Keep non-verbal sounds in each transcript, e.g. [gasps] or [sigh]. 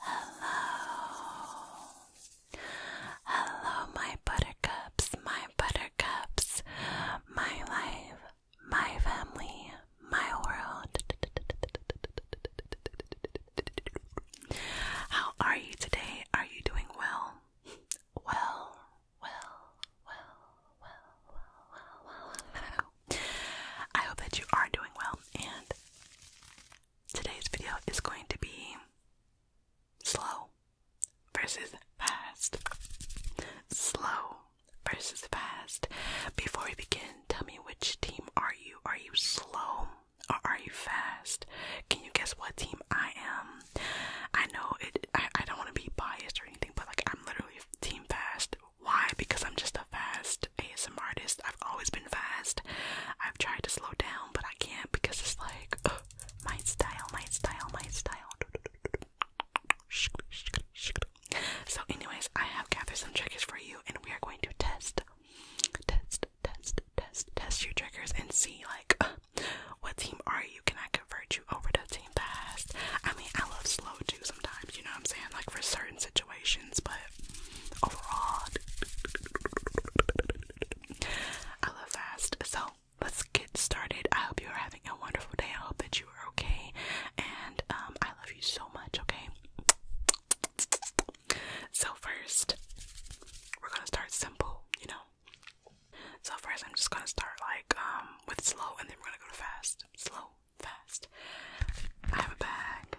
Hello. Hello, my buttercups, my buttercups, my life, my family, my world. How are you today? Are you doing well? Well, well, well, well, well, well, well. I hope that you are doing well and today's video is going to be slow versus fast. Slow versus fast. Before we begin, tell me which team are you? Are you slow or are you fast? Can you guess what team I am? I know it I, don't want to be biased or anything, but like I'm literally team fast. Why? Because I'm just a fast fast ASM artist. I've always been fast. I've tried to slow down, but I can't because it's like my style, my style, my style. So, anyways, I have gathered some triggers for you, and we are going to test, test, test, test, test your triggers and see like uh, what team are you? Can I convert you over to team fast? I mean, I love slow too sometimes. You know what I'm saying? Like for certain situations but overall, I love fast. So let's get started. I hope you are having a wonderful day. I hope that you are okay, and um, I love you so much. Okay. So first, we're gonna start simple. You know. So first, I'm just gonna start like um, with slow, and then we're gonna go to fast. Slow, fast. I have a bag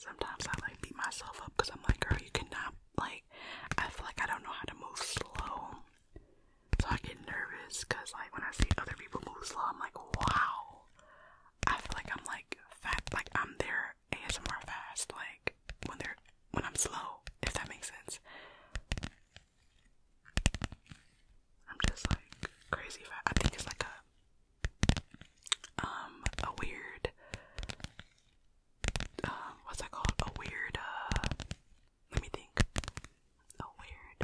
Sometimes I like beat myself up because I'm like, girl, you cannot like. I feel like I don't know how to move slow, so I get nervous because like when I see other people move slow, I'm like, wow. I feel like I'm like fat, like I'm there ASMR fast, like when they're when I'm slow, if that makes sense. I'm just like crazy fast. I think it's like a um a weird um what's that called? A weird uh let me think. A weird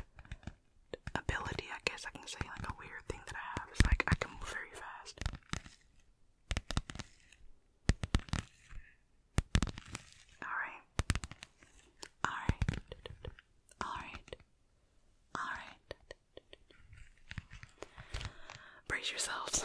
ability, I guess I can say like a weird thing that I have is like I can move very fast. Alright. Alright. Alright. Alright. Brace yourselves.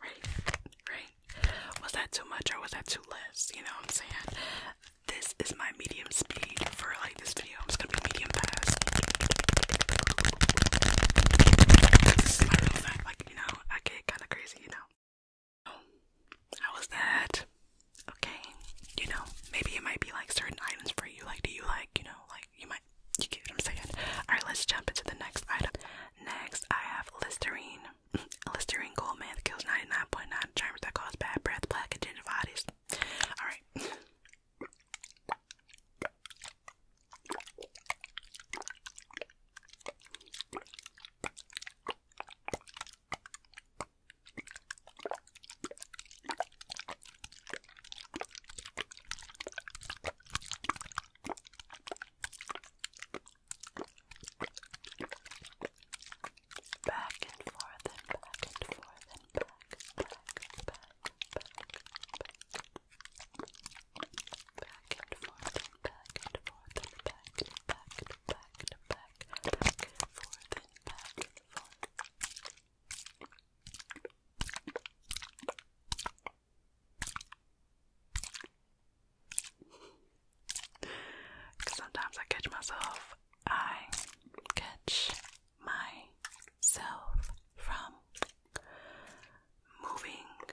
Right, right. Was that too much or was that too less? You know what I'm saying? This is my medium speed for like this video. I'm just gonna be medium fast. This Like, you know, I get kind of crazy, you know. Oh, how was that? Okay, you know, maybe it might be like certain items for you. Like, do you like, you know, like you might you get what I'm saying. Alright, let's jump into the next item. Next I have Listerine. [laughs] Listerine Gold Man kills 99.9 .9 germs that cause bad breath, plaque, and gingivitis. Alright. Back and forth and back and forth and back, back, back, back, back. Back and forth and back and forth and back, back, back, back, back, back and forth and back and forth. Because sometimes I catch myself, I catch myself from moving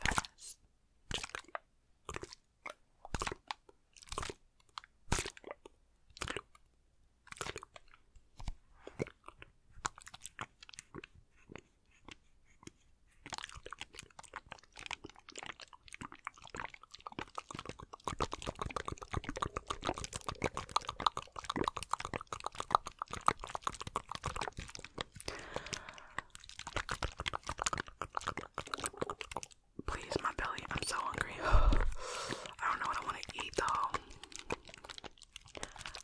fast. Please, my belly. I'm so hungry. [sighs] I don't know what I want to eat though.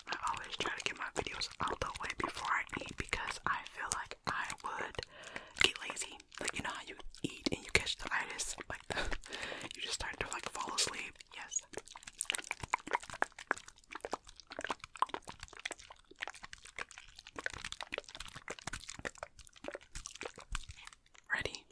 I always try to get my videos out the way before I eat because I feel like I would get lazy. Like you know how you eat and you catch the itis, like the, [laughs] you just start to like fall asleep. Yes. Ready?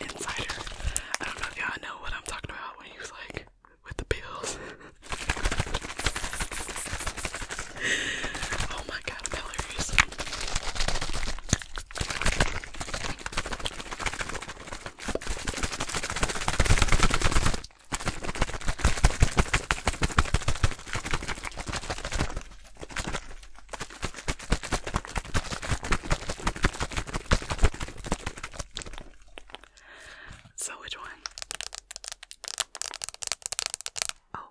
Insider. I don't know if y'all know what I'm talking about when you like with the pills. [laughs] oh my god, i so which one? Oh.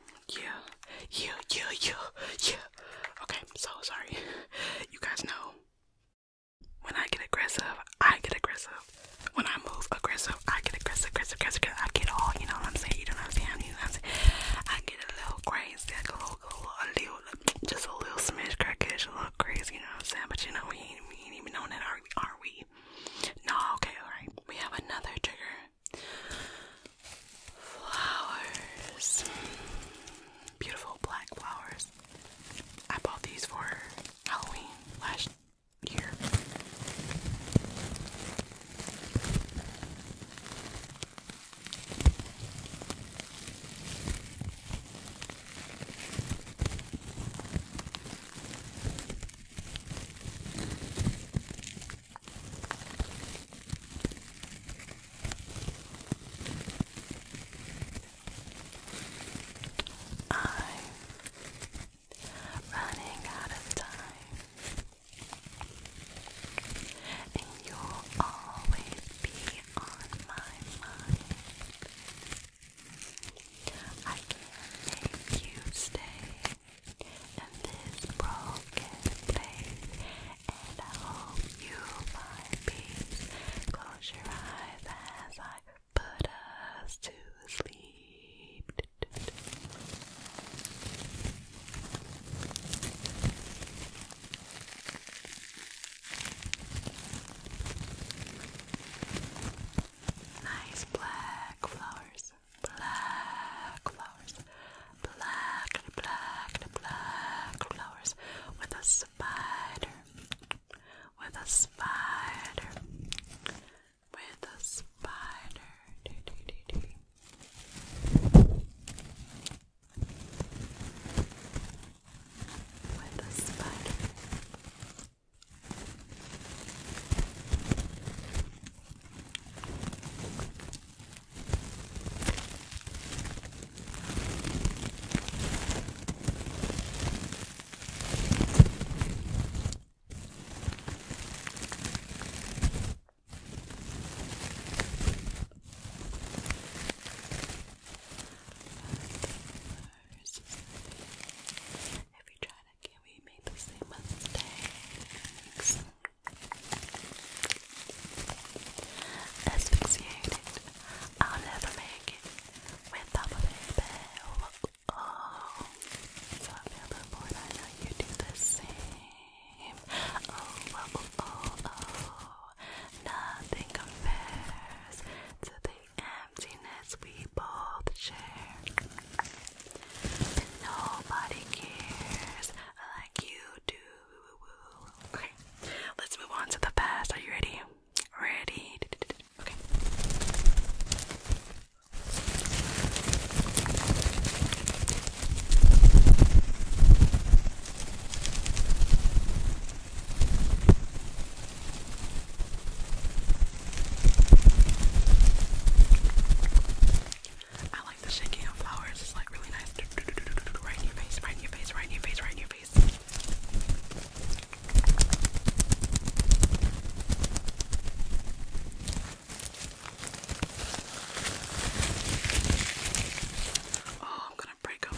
Yeah, yeah, yeah, yeah, yeah. Okay, so sorry. You guys know when I get aggressive, I get aggressive. When I move aggressive, I get aggressive, aggressive, aggressive. I get all, you know what I'm saying? You don't understand? am You know what i I get a little crazy, I a little, a little, just a little smash crackish, a little crazy. You know what I'm saying? But you know we ain't, even known that, are we? Are we? No, okay, all right. We have another trigger Flowers. Beautiful black flowers. I bought these for Halloween last year. I'm running out of time, and you'll always be on my mind. I can make you stay in this broken place and I hope you find peace. Close your eyes as I put us to sleep. Nice black flowers, black flowers black, black, black flowers with a spider, with a spider, with a spider. Do, do, do, do. With a spider. If you try it again, we made the same mistakes. Asphyxiated. I'll never make it without my bell. Oh, so I feel oh oh, oh, oh, oh, oh. Nothing compares to the emptiness we both share. Nobody cares like you do. Okay, let's move on to the fast. Are you ready? Ready? Okay. I like the shaking of flowers. It's like really nice. Right in your face, right in your face, right in your face, right in your face. Oh, I'm gonna break them.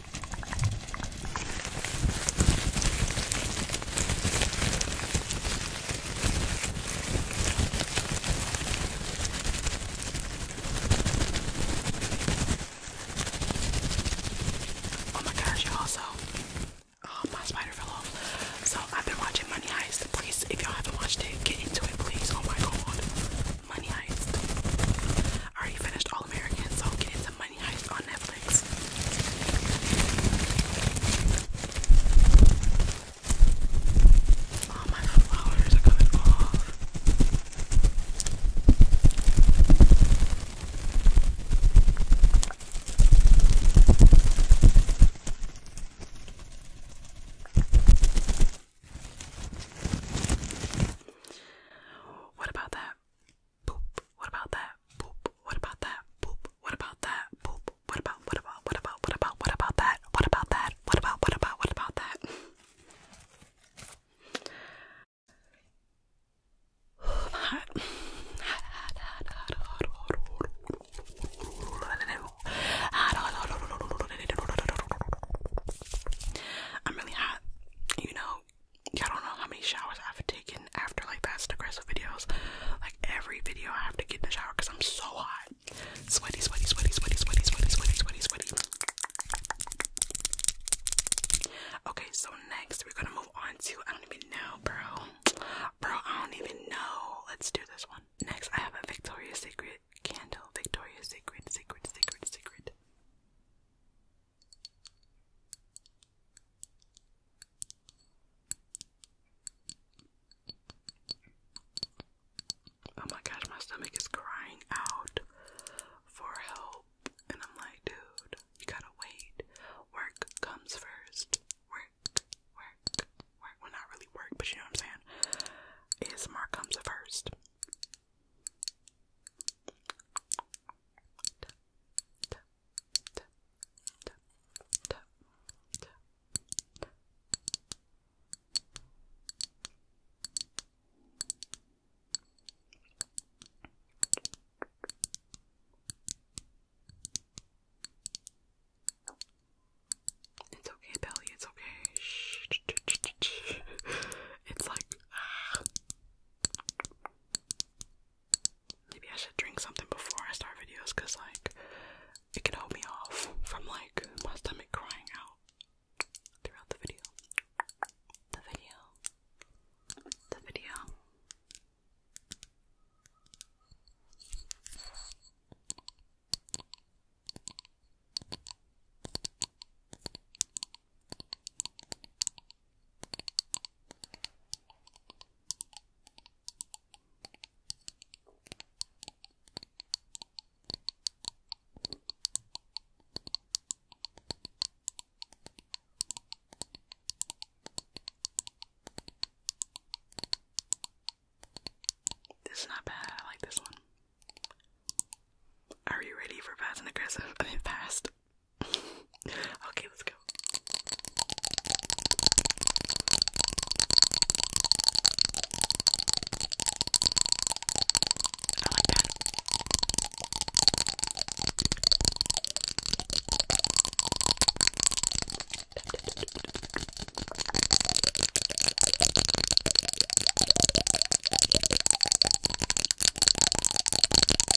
Oh my gosh, y'all, so oh, my spider fell off. So I've been watching Money Heist. Please, if y'all haven't watched it, get into it, please. Oh my god. Money Heist. already finished All American, so get into Money Heist on Netflix. All oh, my flowers are coming off. What about that? Boop. What about that? Boop. What about that? Boop. What about that? Boop. What about what about what about what about what about that? What about that? What about what about what about that? Hot. Hot, hot, hot, hot, hot, hot, hot, hot, I'm really hot. You know, I don't know how many showers I've taken after like past aggressive videos. Like every video, I have to get in the shower because I'm so hot. Sweaty, sweaty, sweaty, sweaty, sweaty, sweaty, sweaty, sweaty, sweaty. Okay, so next we're gonna move on to I don't even know, bro. Bro, I don't even know. Let's do this one. Next, I have a Victoria's Secret candle. Victoria's Secret, Secret, Secret, Secret. Oh my gosh, my stomach is crying out for help. And I'm like, dude, you gotta wait. Work comes first. Work, work, work. Well, not really work, but you know what I'm saying? ASMR comes first. It's okay, Belly, it's okay. Shh. It's like ah, Maybe I should drink something before I start videos because, like, it can hold me off from, like, my stomach crying out throughout the video. The video. The video. This is not bad, I like this one. Are you ready for fast and aggressive? [laughs] I mean, fast okay, let's go. I like that.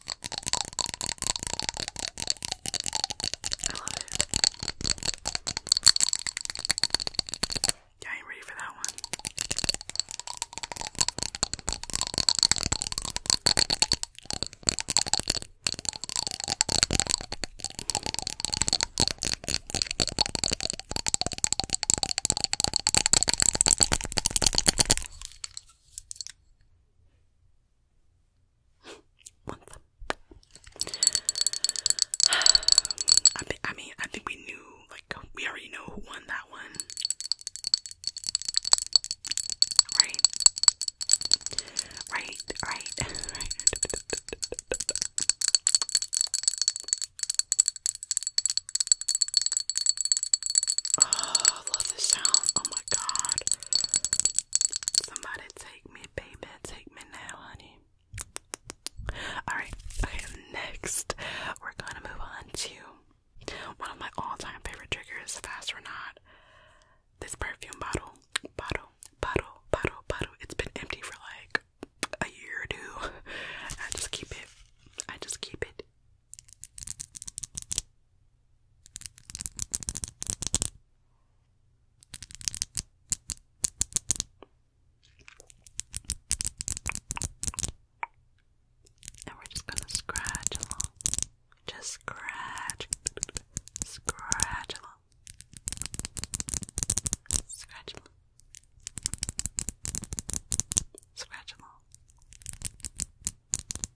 I love it. Yeah, I ain't ready for that one. [sighs] I, think, mean, I think we knew, like, we already know who won that one. Right? Right, right, [laughs] right. Oh, I love this sound. Oh my god. Somebody take me, baby. Take me now, honey. Alright, okay, next we're gonna move on to one of my all-time favorite triggers, fast or not. This perfume bottle. Bottle, bottle, bottle, bottle. It's been empty for like a year or two. I just keep it. I just keep it. And we're just gonna scratch along. Just scratch, scratch along, scratch along, scratch along,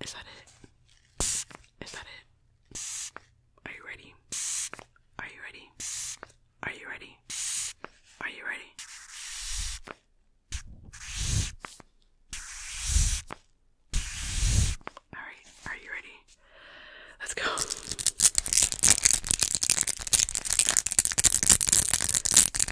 Is that it? Is that it? Are you ready? Are you ready? Are you ready? Are you ready? Alright, are you ready? Let's go.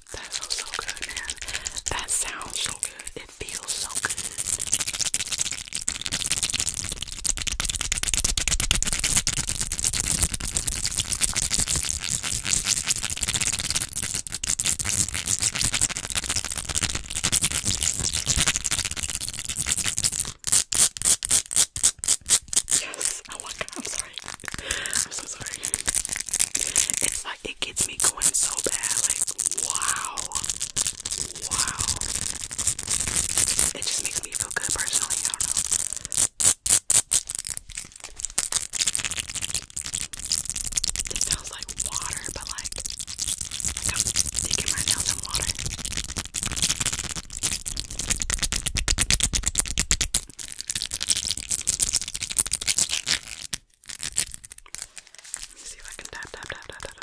That sounds so good, man. That sounds so good. It feels so good. Yes. Oh I'm sorry. I'm so sorry. It's like it gets me going so bad. Like, wow. Wow. It just makes me feel good personally. It sounds like water, but like, like I'm sticking my water. Let me see if I can tap, tap, tap, tap, tap, tap.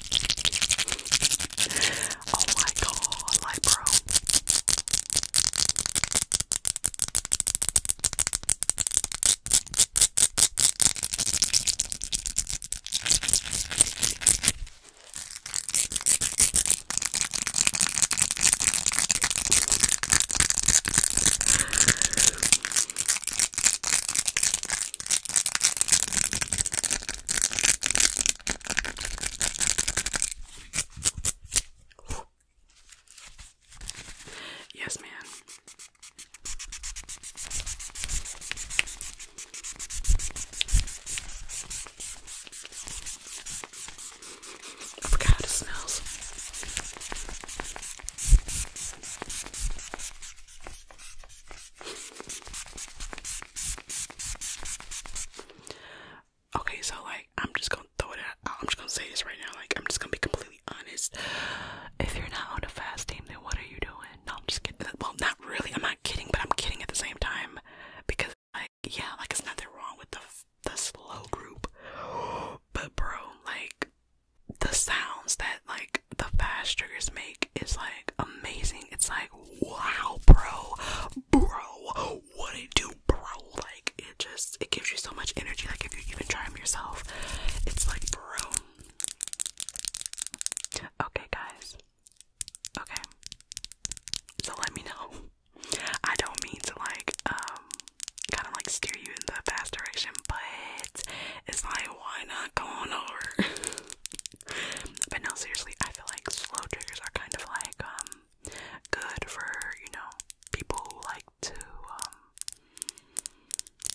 oh my god, like bro. Yes, man. I forgot how it smells. Okay, so like I'm just gonna throw it I'm just gonna say this right now. Like I'm just gonna be completely honest. If you're not on a fast team, then what are you doing? No, I'm just kidding. Uh, well, not really. I'm not kidding, but I'm kidding at the same time because like yeah, like it's nothing wrong with the the slow group, [gasps] but bro, like the sounds that like the fast triggers make is like amazing. It's like wow, bro, bro, what it do, bro? Like it just it gives you so much energy. Like if you even try them yourself, it's like bro. Okay, guys. Okay. So let me know. I don't mean to like um kind of like steer you in the fast direction, but it's like, why not go on over? [laughs] but no, seriously, I feel like slow triggers are kind of like, um, good for, you know, people who like to, um,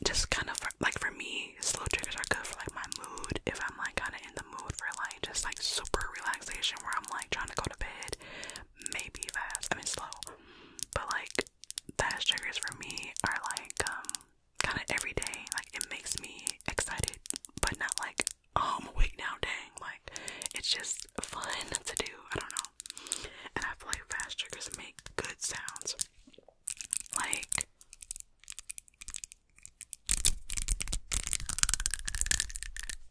just kind of, like, for me, slow triggers are good for, like, my mood. If I'm, like, kind of in the mood for, like, just, like, super relaxation where I'm, like, trying to go to bed, maybe fast, I mean, slow. But, like, fast triggers for me are, like, um, kind of every day. Like it makes me excited, but not like oh, I'm awake now, dang. Like it's just fun to do. I don't know. And I feel like fast triggers make good sounds. Like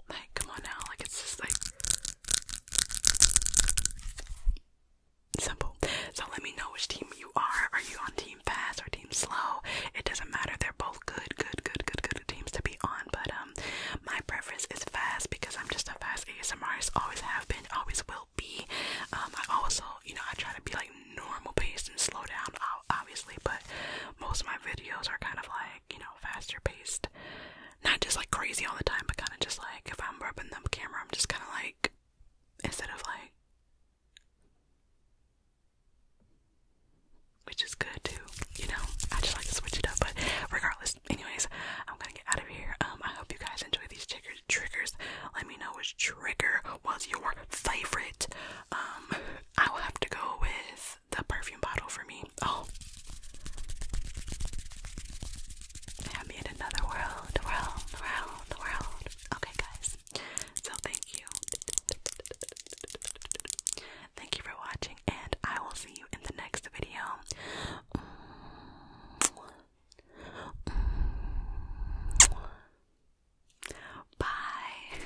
like come on now, like it's just like Simple. So let me know which team you are. Are you on team fast or team slow? It doesn't matter. They're both good, good, good, good, good teams to be on. But um, my preference is fast because I'm just a fast ASMRist. Always have been, always will be. Um, I also, you know, I try to be like normal paced and slow down, obviously. But most of my videos are kind of like, you know, faster paced. Not just like crazy all the time, but kind of just like if I'm rubbing the camera, I'm just kind of like instead of like which is good too, you know. I just like to switch it up, but regardless, anyways, I'm gonna get out of here. Um, I hope you guys enjoy these triggers. Let me know which trigger was your favorite. Um, I will have to go with the perfume bottle for me. Oh, have me in another world, world, world, world. Okay, guys. So thank you. Thank you for watching, and I will see you in the next video. Bye.